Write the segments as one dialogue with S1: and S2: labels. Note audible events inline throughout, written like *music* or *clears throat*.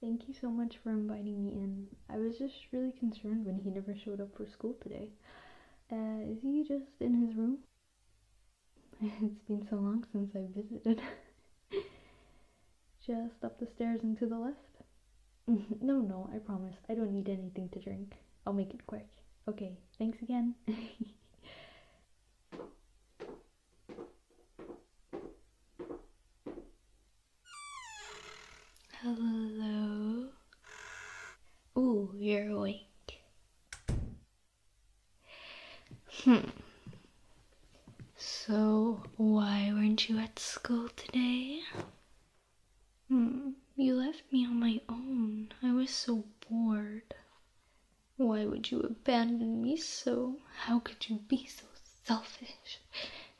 S1: Thank you so much for inviting me in. I was just really concerned when he never showed up for school today. Uh, is he just in his room? *laughs* it's been so long since I visited. *laughs* just up the stairs and to the left. *laughs* no, no, I promise. I don't need anything to drink. I'll make it quick. Okay, thanks again. Hello. Ooh, you're awake. Hmm. So, why weren't you at school today? Hmm, you left me on my own. I was so bored. Why would you abandon me so? How could you be so selfish?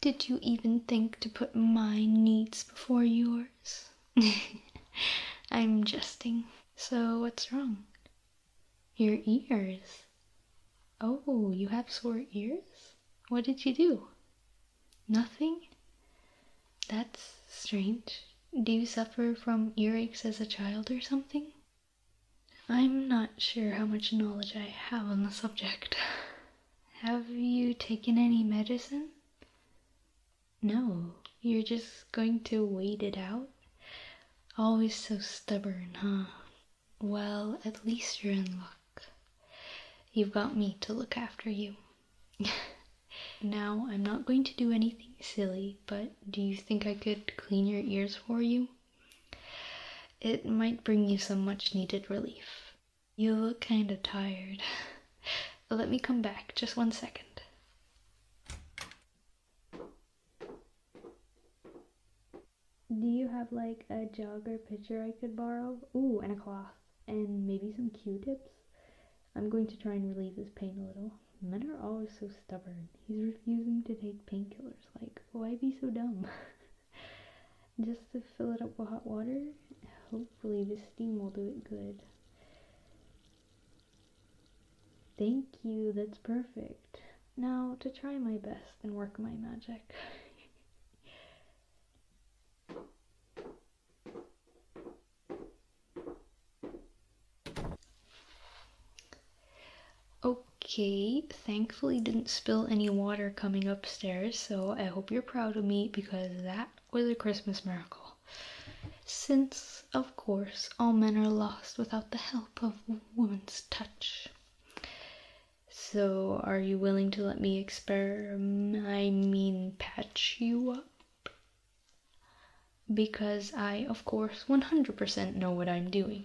S1: Did you even think to put my needs before yours? *laughs* I'm jesting. So, what's wrong? Your ears. Oh, you have sore ears? What did you do? Nothing? That's strange. Do you suffer from earaches as a child or something? I'm not sure how much knowledge I have on the subject. have you taken any medicine? No, you're just going to wait it out? Always so stubborn, huh? Well, at least you're in luck. You've got me to look after you. *laughs* now, I'm not going to do anything silly but do you think I could clean your ears for you? It might bring you some much needed relief. You look kind of tired. *laughs* Let me come back, just one second. Do you have like a jog or picture I could borrow? Ooh, and a cloth, and maybe some q tips? I'm going to try and relieve this pain a little men are always so stubborn. He's refusing to take painkillers. Like, why be so dumb? *laughs* Just to fill it up with hot water? Hopefully, the steam will do it good. Thank you, that's perfect. Now, to try my best and work my magic. *laughs* Okay, thankfully didn't spill any water coming upstairs, so I hope you're proud of me because that was a Christmas miracle. Since, of course, all men are lost without the help of woman's touch. So, are you willing to let me experiment? I mean, patch you up? because I, of course, 100% know what I'm doing.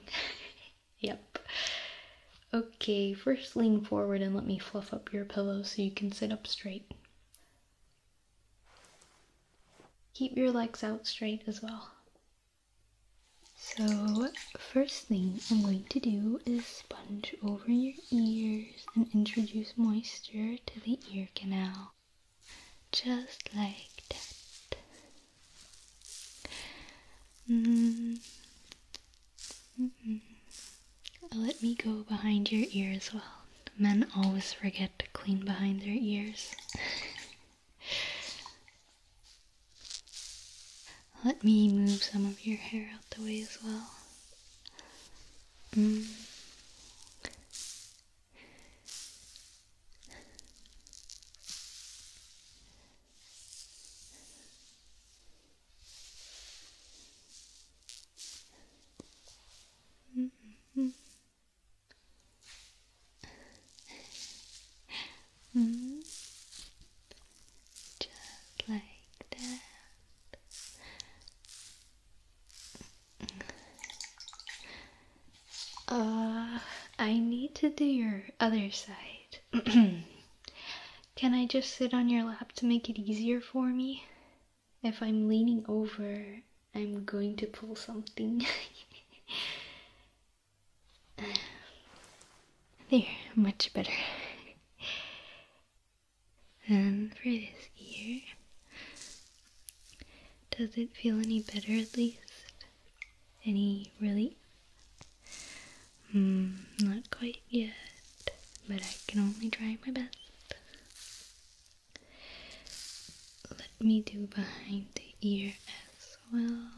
S1: *laughs* yep. Okay, first lean forward and let me fluff up your pillow so you can sit up straight. Keep your legs out straight as well. So, first thing I'm going to do is sponge over your ears and introduce moisture to the ear canal just like that. Mm-hmm. Let me go behind your ear as well. Men always forget to clean behind their ears. Let me move some of your hair out the way as well. Mm. Mm -hmm. Mm. Just like that. Uh, I need to do your other side. *clears throat* Can I just sit on your lap to make it easier for me? If I'm leaning over, I'm going to pull something. *laughs* there, much better. And for this ear, does it feel any better at least? Any really? Hmm, not quite yet, but I can only try my best. Let me do behind the ear as well.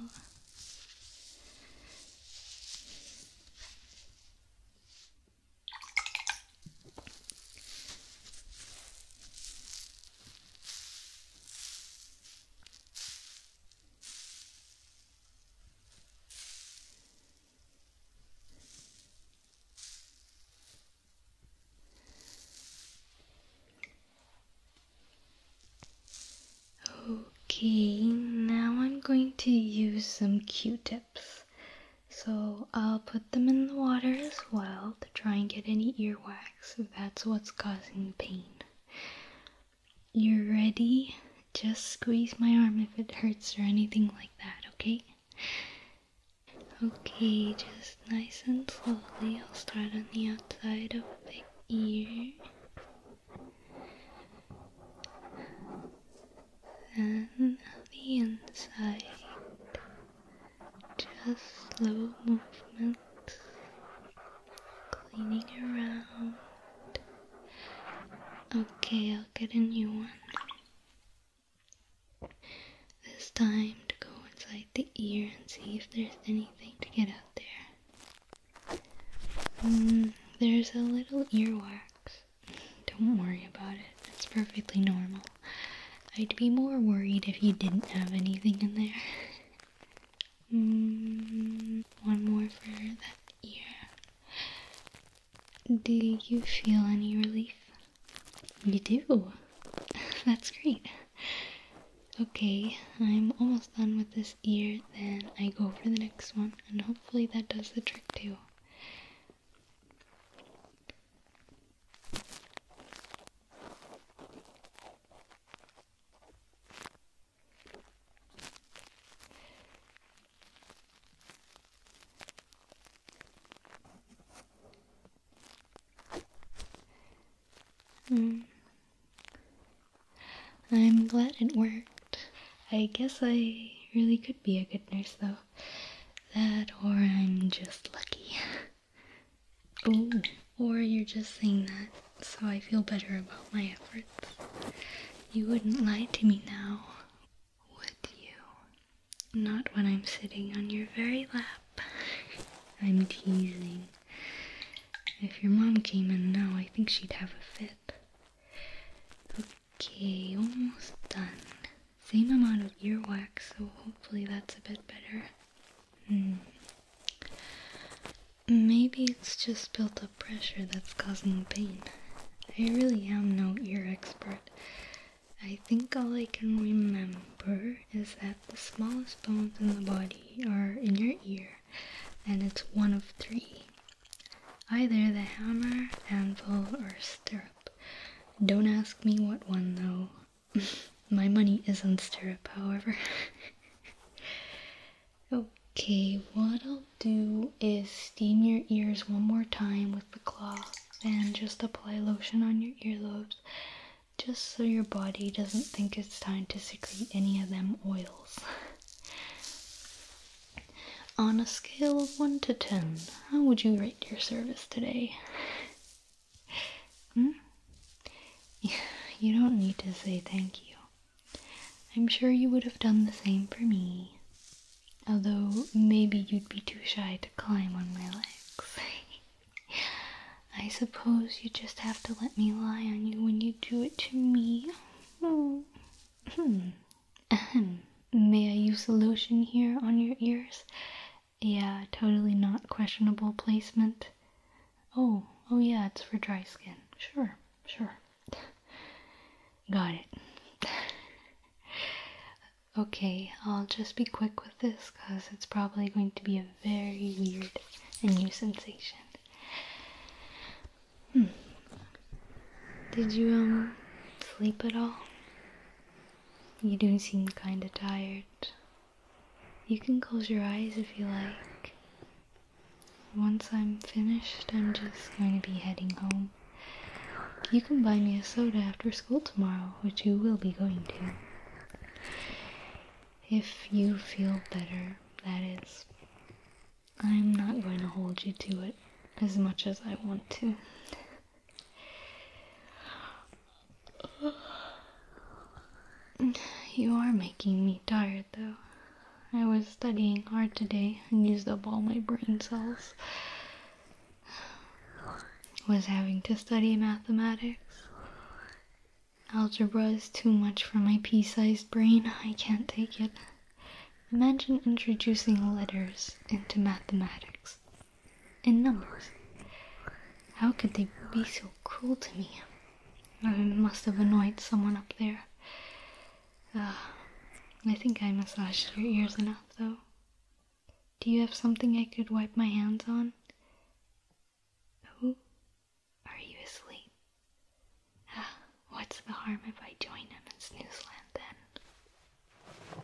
S1: Okay, now I'm going to use some q-tips. So I'll put them in the water as well to try and get any earwax. So that's what's causing pain. You're ready? Just squeeze my arm if it hurts or anything like that, okay? Okay, just nice and slowly. I'll start on the outside of the ear. Then the inside. Just slow movement, cleaning around. Okay, I'll get a new one. This time to go inside the ear and see if there's anything to get out there. Mm, there's a little earwax. Don't worry about it, it's perfectly normal. I'd be more worried if you didn't have anything in there. Hmm, one more for that ear. Do you feel any relief? You do. *laughs* That's great. Okay, I'm almost done with this ear, then I go for the next one, and hopefully that does the trick too. Mm. I'm glad it worked. I guess I really could be a good nurse, though. That or I'm just lucky. *laughs* Oh, or you're just saying that so I feel better about my efforts. You wouldn't lie to me now, would you? Not when I'm sitting on your very lap. *laughs* I'm teasing. If your mom came in now, I think she'd have a fit. Okay, almost done. Same amount of earwax, so hopefully that's a bit better. Hmm. Maybe it's just built up pressure that's causing the pain. I really am no ear expert. I think all I can remember is that the smallest bones in the body are in your ear, and it's one of three either the hammer, anvil, or stirrup. Don't ask me what one though, *laughs* My money is on stirrup, however. *laughs* okay, what I'll do is steam your ears one more time with the cloth and just apply lotion on your earlobes just so your body doesn't think it's time to secrete any of them oils. *laughs* on a scale of 1 to 10, how would you rate your service today? hmm? *laughs* You don't need to say thank you. I'm sure you would have done the same for me. Although, maybe you'd be too shy to climb on my legs. *laughs* I suppose you just have to let me lie on you when you do it to me. Hmm. Hmm. *laughs* May I use the lotion here on your ears? Yeah, totally not questionable placement. Oh, oh yeah, it's for dry skin. Sure, sure. Got it. *laughs* okay, I'll just be quick with this because it's probably going to be a very weird and new sensation. Hmm. Did you, um, sleep at all? You do seem kinda tired. You can close your eyes if you like. Once I'm finished, I'm just going to be heading home. You can buy me a soda after school tomorrow, which you will be going to. If you feel better, that is. I'm not going to hold you to it as much as I want to. *sighs* You are making me tired though. I was studying hard today and used up all my brain cells. *sighs* Was having to study mathematics. Algebra is too much for my pea sized brain. I can't take it. Imagine introducing letters into mathematics in numbers. How could they be so cruel to me? I must have annoyed someone up there. Ah, I think I massaged your ears enough, though. Do you have something I could wipe my hands on? Who? Are you asleep? Ah, what's the harm if I join them in Snoozeland then?